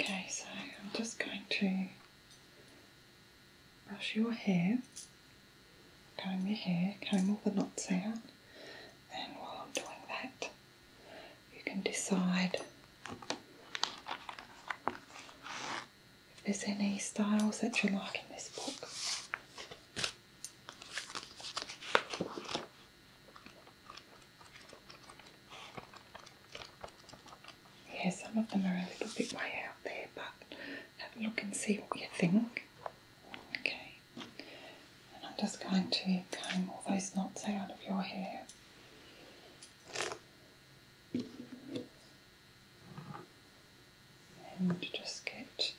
Okay, so I'm just going to brush your hair, comb your hair, comb all the knots out, and while I'm doing that, you can decide if there's any styles that you like in this book. Yeah, some of them are a little bit way out there, but have a look and see what you think. Okay, and I'm just going to comb all those knots out of your hair and just get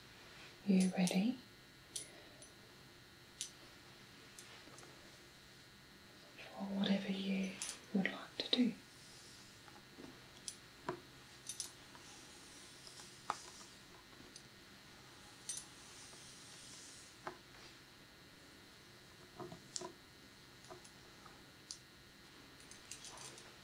you ready. For whatever you would like to do.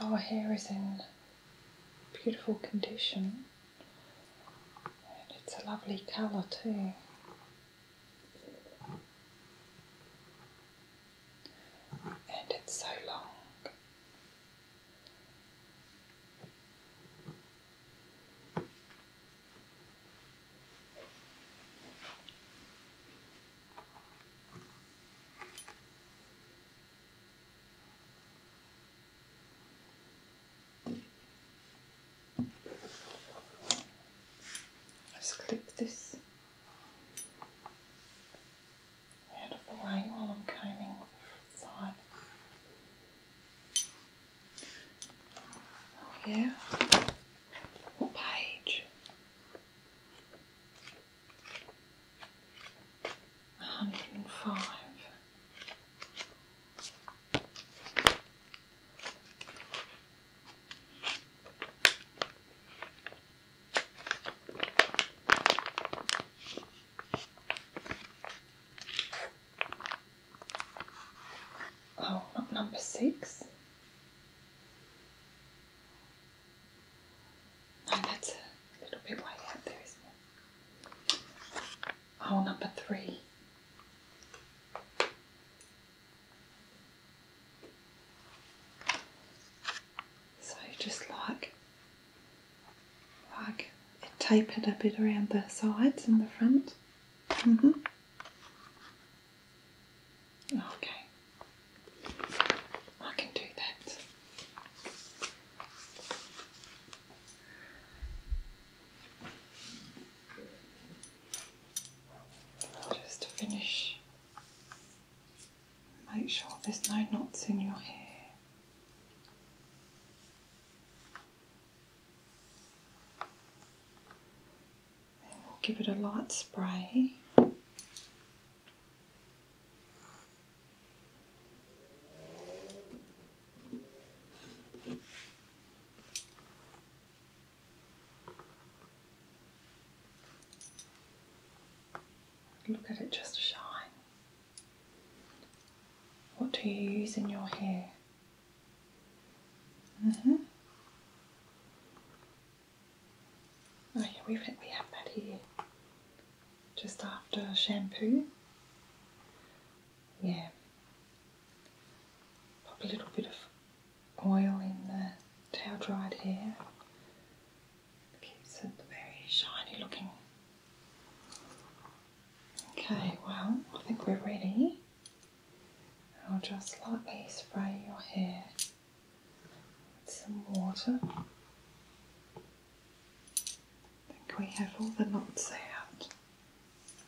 Our hair is in beautiful condition and it's a lovely colour too. And it's so long. Let's clip this out of the way while I'm combing yeah. page? hundred and five. Oh, not number six. Oh, that's a little bit way out there, Hole oh, number three. So just like, like it tapered a bit around the sides and the front. -hmm. Okay, I can do that. Just to finish, make sure there's no knots in your hair. give it a light spray. Look at it just shine. What do you use in your hair? Mm -hmm. Oh yeah, we've had, we have that here just after shampoo. Yeah, pop a little bit of oil in the towel dried hair. Keeps it very shiny looking. Okay, well, I think we're ready. I'll just lightly spray your hair some water. I think we have all the knots out.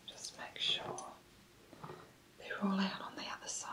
Just make sure they're all out on the other side.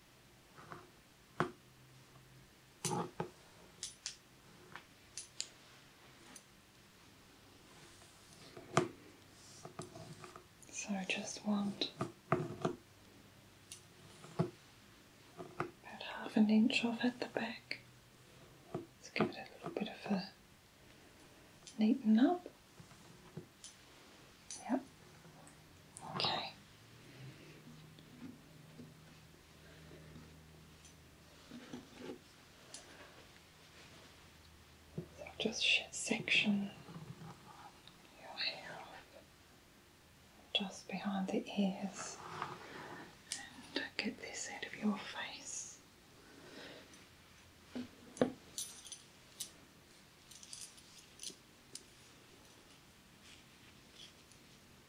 So I just want about half an inch off at the back. Let's give it a little bit of a neaten up. Yep. Okay just section your hair just behind the ears and get this out of your face.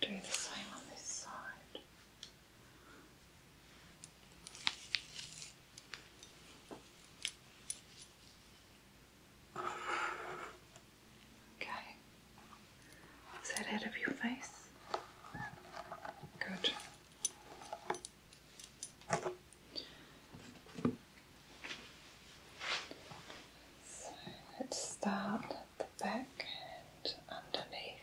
Do the same on this side. Okay. Is that out of your face? Good. So let's start at the back and underneath.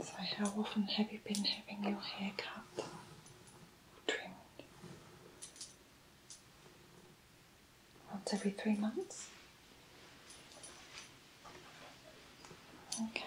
So, how often have you been having your hair cut or trimmed? Once every three months? Okay.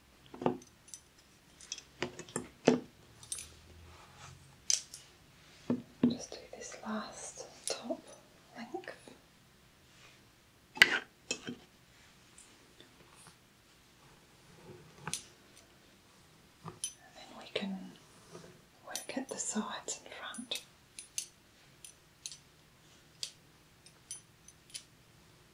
Just do this last top length. And then we can work at the sides and front.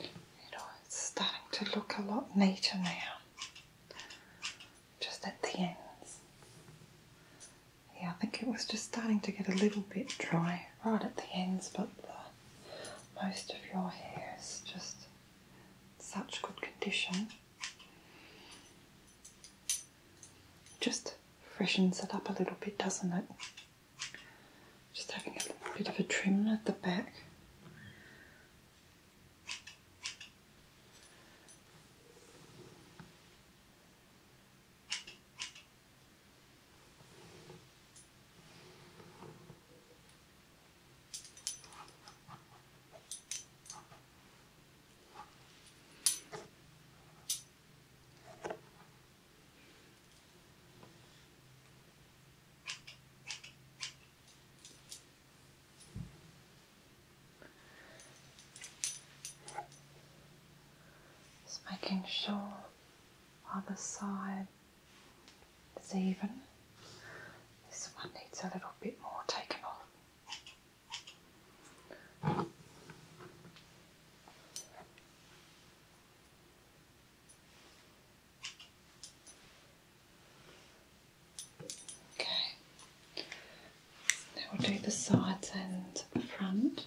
You know, it's starting to look a lot neater now, just at the ends. Yeah, I think it was just starting to get a little bit dry right at the ends, but most of your hair is just such good condition just freshens it up a little bit, doesn't it? Just having a bit of a trim at the back. Just making sure other side is even. This one needs a little bit more taken off. Okay. Now we'll do the sides and the front.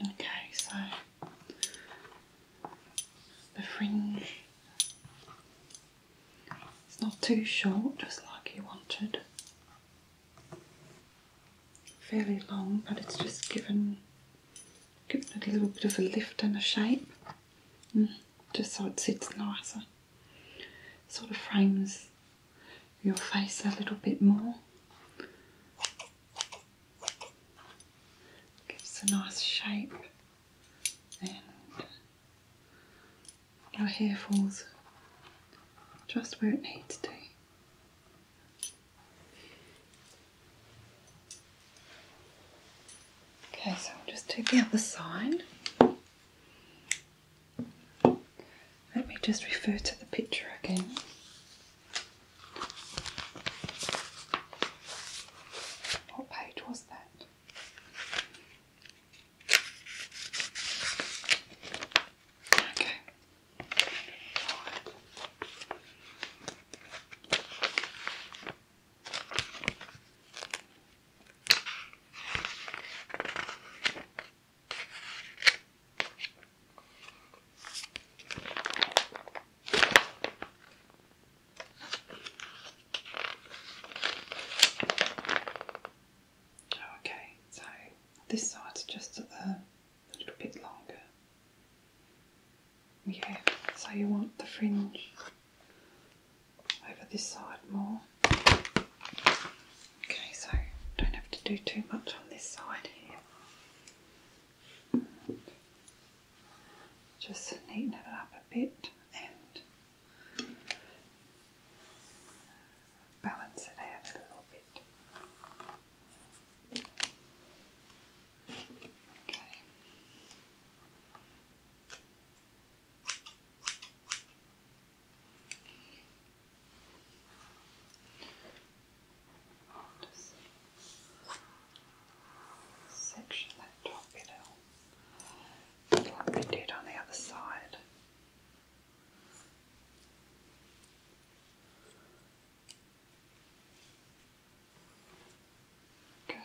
Okay, so the fringe it's not too short, just like you wanted. Fairly long, but it's just given a little bit of a lift and a shape, mm, just so it sits nicer. Sort of frames your face a little bit more. Gives a nice shape and your hair falls just where it needs to. Okay, so I'll just do the other side. Let me just refer to the picture again. What page was that? Okay. Okay, so this side's just a, little bit longer. Yeah, so you want the fringe over this side more. Okay, so don't have to do too much on this side here. Just neaten it up a bit and balance it out a little bit. Okay section that top bit out, like we on the other side. Okay.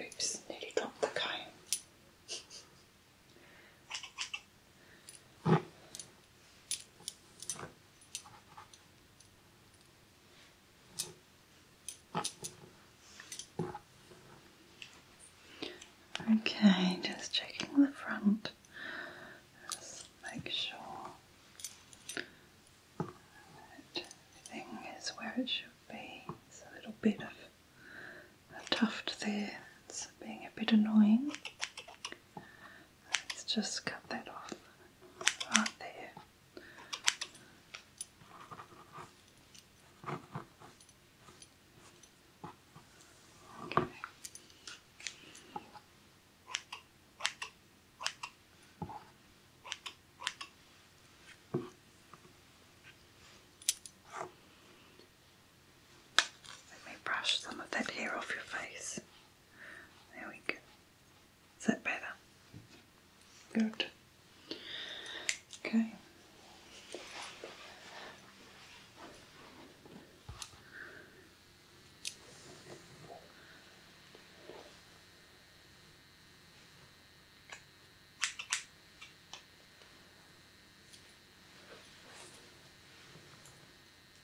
Oops, nearly dropped the comb. Okay, just checking the front. make sure everything is where it should be. It's a little bit of a tuft there. It's being a bit annoying. Let's just cut that off right there. Okay. Let me brush some of that hair off your face. There we go. Is that better? Good. Okay.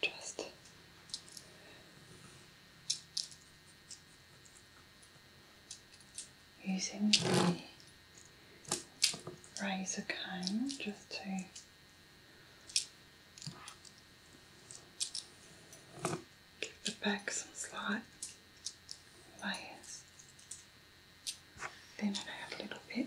Just using the razor comb just to give the back some slight layers. Thin it out a little bit.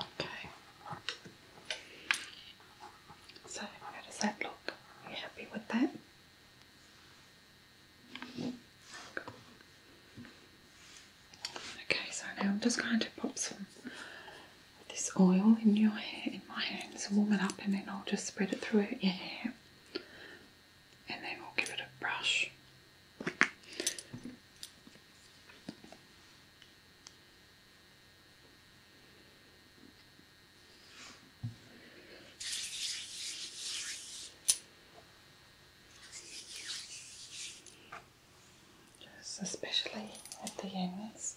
Okay. So, how does that look? Are you happy with that? Okay, so now I'm just going to pop some of this oil in your hair, in my hands, warm it up, and then I'll just spread it through your hair and then we'll give it a brush. Just especially at the ends.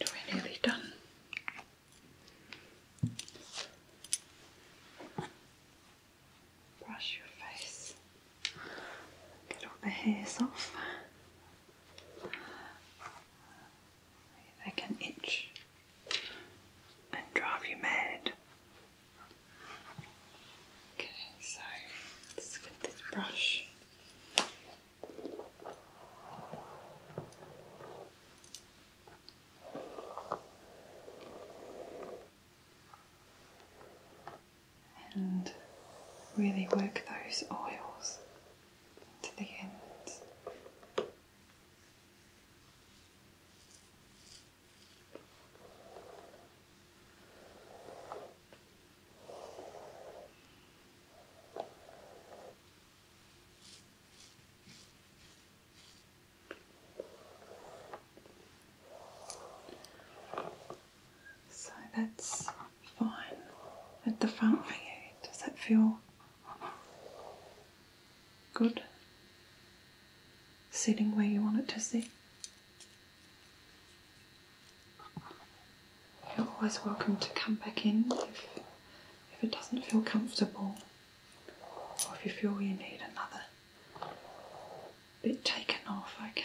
we're nearly done. Brush your face, get all the hairs off. They can itch and drive you mad. Okay, so let's get this brush. And really work those oils to the end. So that's fine at the front for you. Does that feel good? sitting where you want it to sit. You're always welcome to come back in if, if it doesn't feel comfortable or if you feel you need another bit taken off, okay?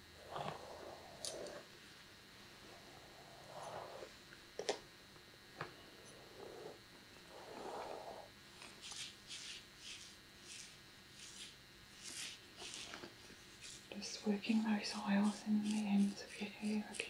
Just working those oils in the ends of your hair again.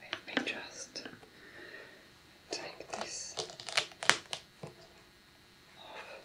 Let me just take this off around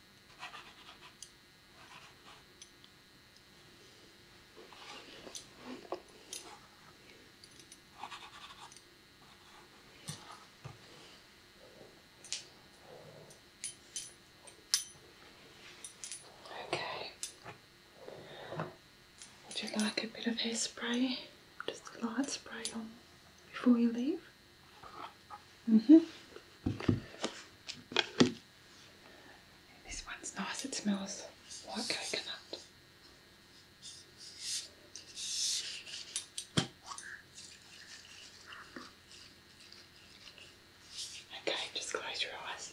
Okay. Would you like a bit of hairspray? Just a light spray on before you leave? hmm This one's nice, it smells like coconut. Okay, just close your eyes.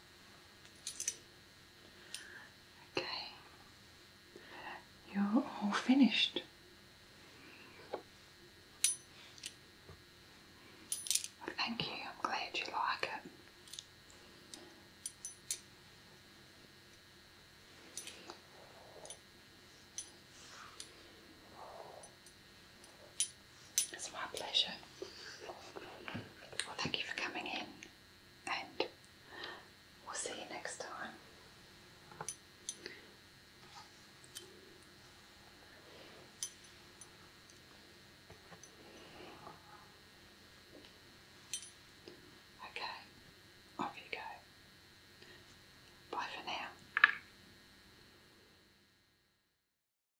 Okay, you're all finished. thank you, I'm glad you like it. It's my pleasure. Well, thank you for coming in, and we'll see you next time. Okay, off you go. Bye for now.